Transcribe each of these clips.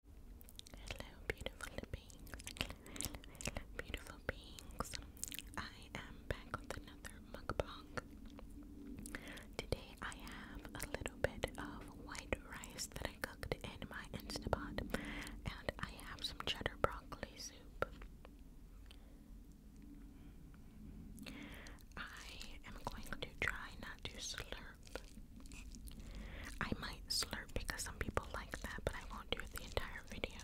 Hello, beautiful beings. beautiful beings. I am back with another mukbang. Today I have a little bit of white rice that I cooked in my Instapot, and I have some cheddar broccoli soup. I am going to try not to slur I might slurp because some people like that, but I won't do it the entire video.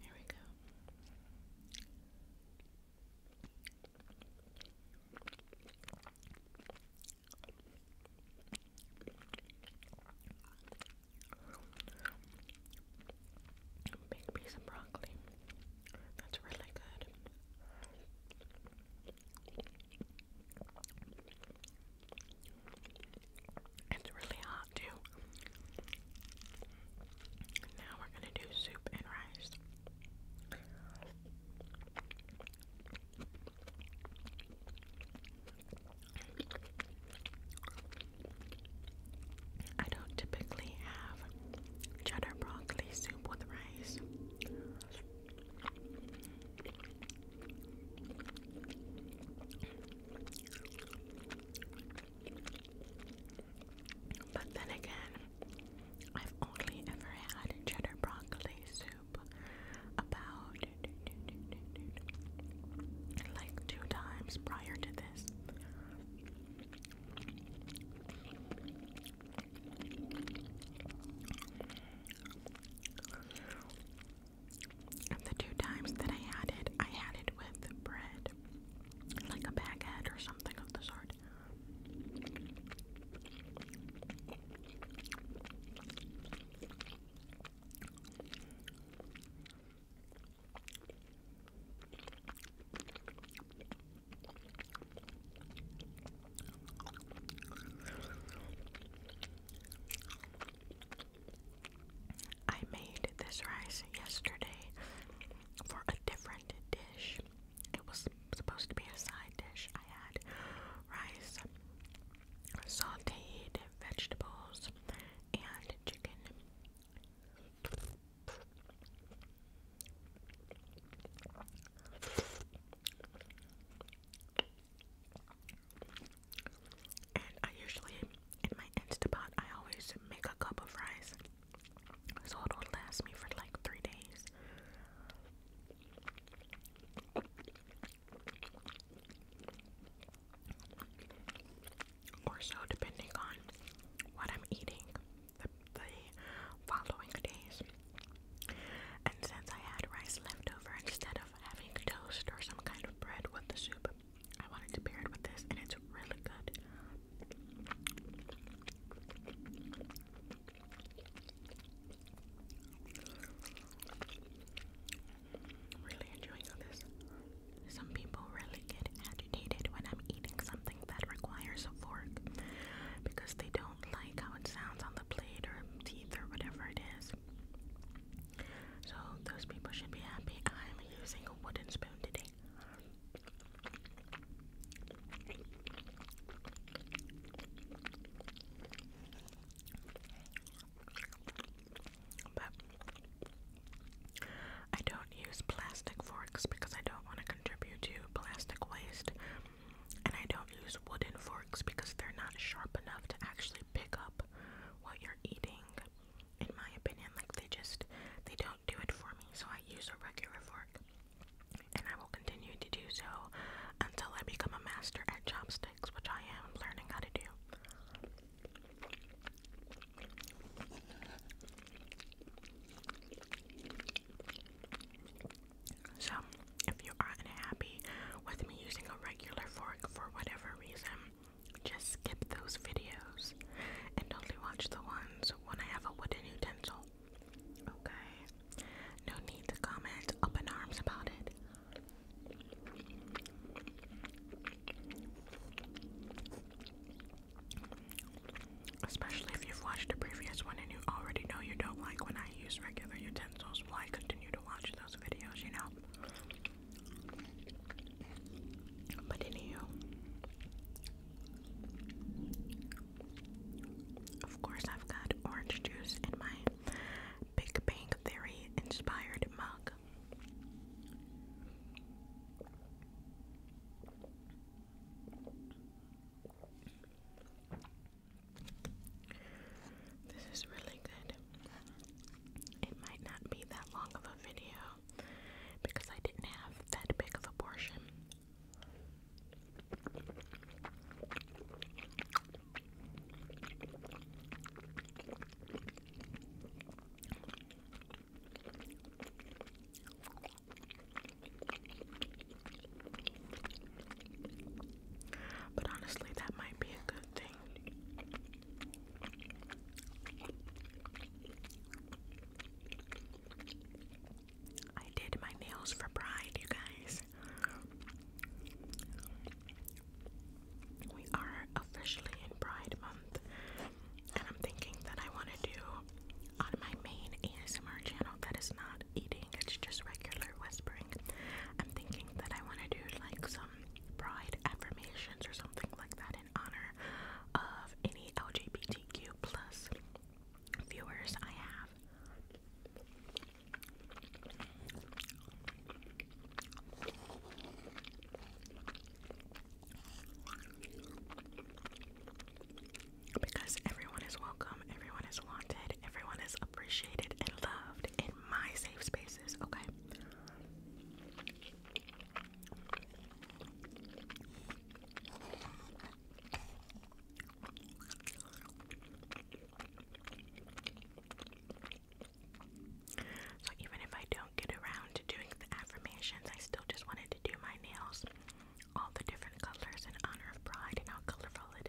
Here we go. Big piece of broccoli. That's really good. It's really hot too. Now we're gonna do soup and rice. I don't typically have cheddar broccoli soup with rice. But then again, I've only ever had cheddar broccoli soup about like two times prior to this. And the two times that I had it, I had it with bread, like a baguette or something of the sort. I made this rice yesterday for a different dish. It was supposed to be a side dish. I had rice, sauteed vegetables, and chicken. And I usually, in my pot, I always make a cup of rice. So it'll last me for like three days. Or so, depending on what I'm eating the following days. And since I had rice left over instead of having toast or some kind of bread with the soup, I wanted to pair it with this, and it's really good. Really enjoying this. Some people really get agitated when I'm eating something that requires a fork because they don't like how it sounds on the plate or teeth or whatever it is. So those people should be happy. I'm using a wooden spoon today. But I don't use plastic forks because I don't want to contribute to plastic waste. And I don't use wooden forks because they're not sharp enough to actually pick up what you're eating, in my opinion. Like they just they don't do it for me, so I use a regular fork. And I will continue to do so until I become a master at chopsticks, which I am learning how to do. So, if you are unhappy with me using a regular fork for whatever reason, just skip those videos and only watch the ones when I have a wooden utensil. Okay? No need to comment up in arms about it. Especially if you've watched a previous one and you already know you don't like when I use regular utensils why I continue to watch those videos, you know. But anywho, of course, I've got orange juice in my Big Bang Theory inspired mug. This is really good. It might not be that long of a video because I didn't have that big of a portion. But honestly, that might be a good thing. I did my nails for Pride, you guys. We are officially in Pride Month, and I'm thinking that I want to do on my main ASMR channel that is not eating, it's just regular whispering. I'm thinking that I want to do like some pride affirmations or something like that in honor of any LGBTQ plus viewers I have. Because everyone is welcome, everyone is wanted, everyone is appreciated and loved in my safe spaces, okay? So, even if I don't get around to doing the affirmations, I still just wanted to do my nails all the different colors in honor of pride and how colorful it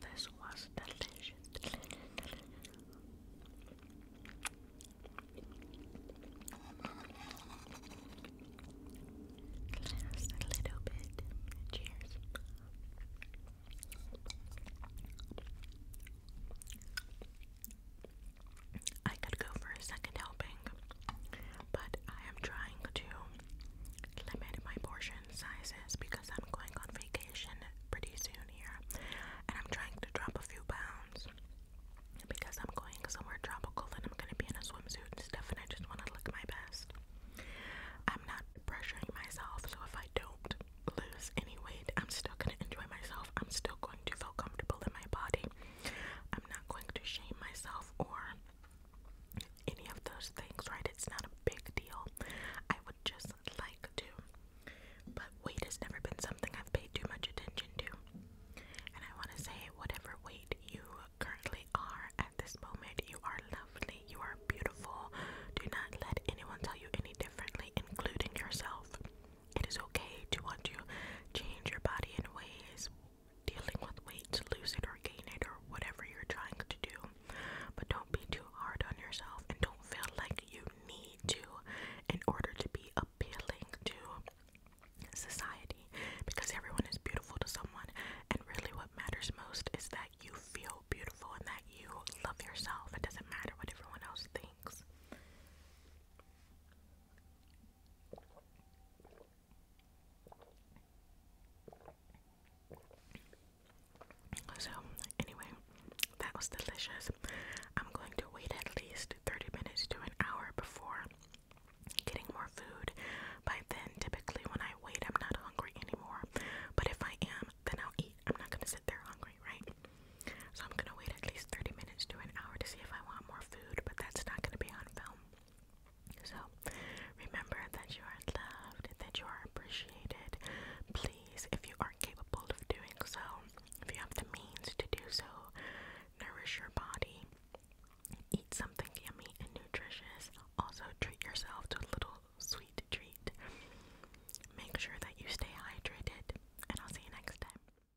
This was delicious. Just a little bit. Cheers. I could go for a second helping, but I am trying to limit my portion sizes because I'm going on vacation pretty soon here and I'm trying to drop a few pounds because I'm going somewhere tropical and I'm going to be in a swimsuit and stuff and I just want to look my best. I'm not pressuring myself, so if I don't lose any weight, I'm still going to enjoy myself. I'm still going to feel comfortable in my body. I'm not going to shame myself or any of those things, right? It's not a big deal. I would just like to. But weight has never been something I've paid too much attention to. And I want to say, whatever weight you currently are at this moment, you are lovely, you are beautiful. Do not let anyone tell you any differently, including yourself. It is okay to want to change your body in ways, dealing with weight to lose it or gain it or whatever you're trying to do. But don't be too hard on yourself and don't feel like you need to in order to be appealing to society because everyone is beautiful to someone. And really, what matters most is that you feel beautiful and that you love yourself. It doesn't matter what everyone else thinks. So, anyway, that was delicious. I'm going to wait at least 30 minutes to an hour before getting more food. By then, typically when I wait, I'm not hungry anymore. But if I am, then I'll eat. I'm not going to sit there hungry, right? So I'm gonna wait at least 30 minutes to an hour to see if I want more food, but that's not gonna be on film. So remember that you are loved, that you are appreciated. Please, if you are capable of doing so, if you have the means to do so, nourish your body. Eat something yummy and nutritious. Also, treat yourself to a little sweet treat. Make sure that you stay hydrated, and I'll see you next time.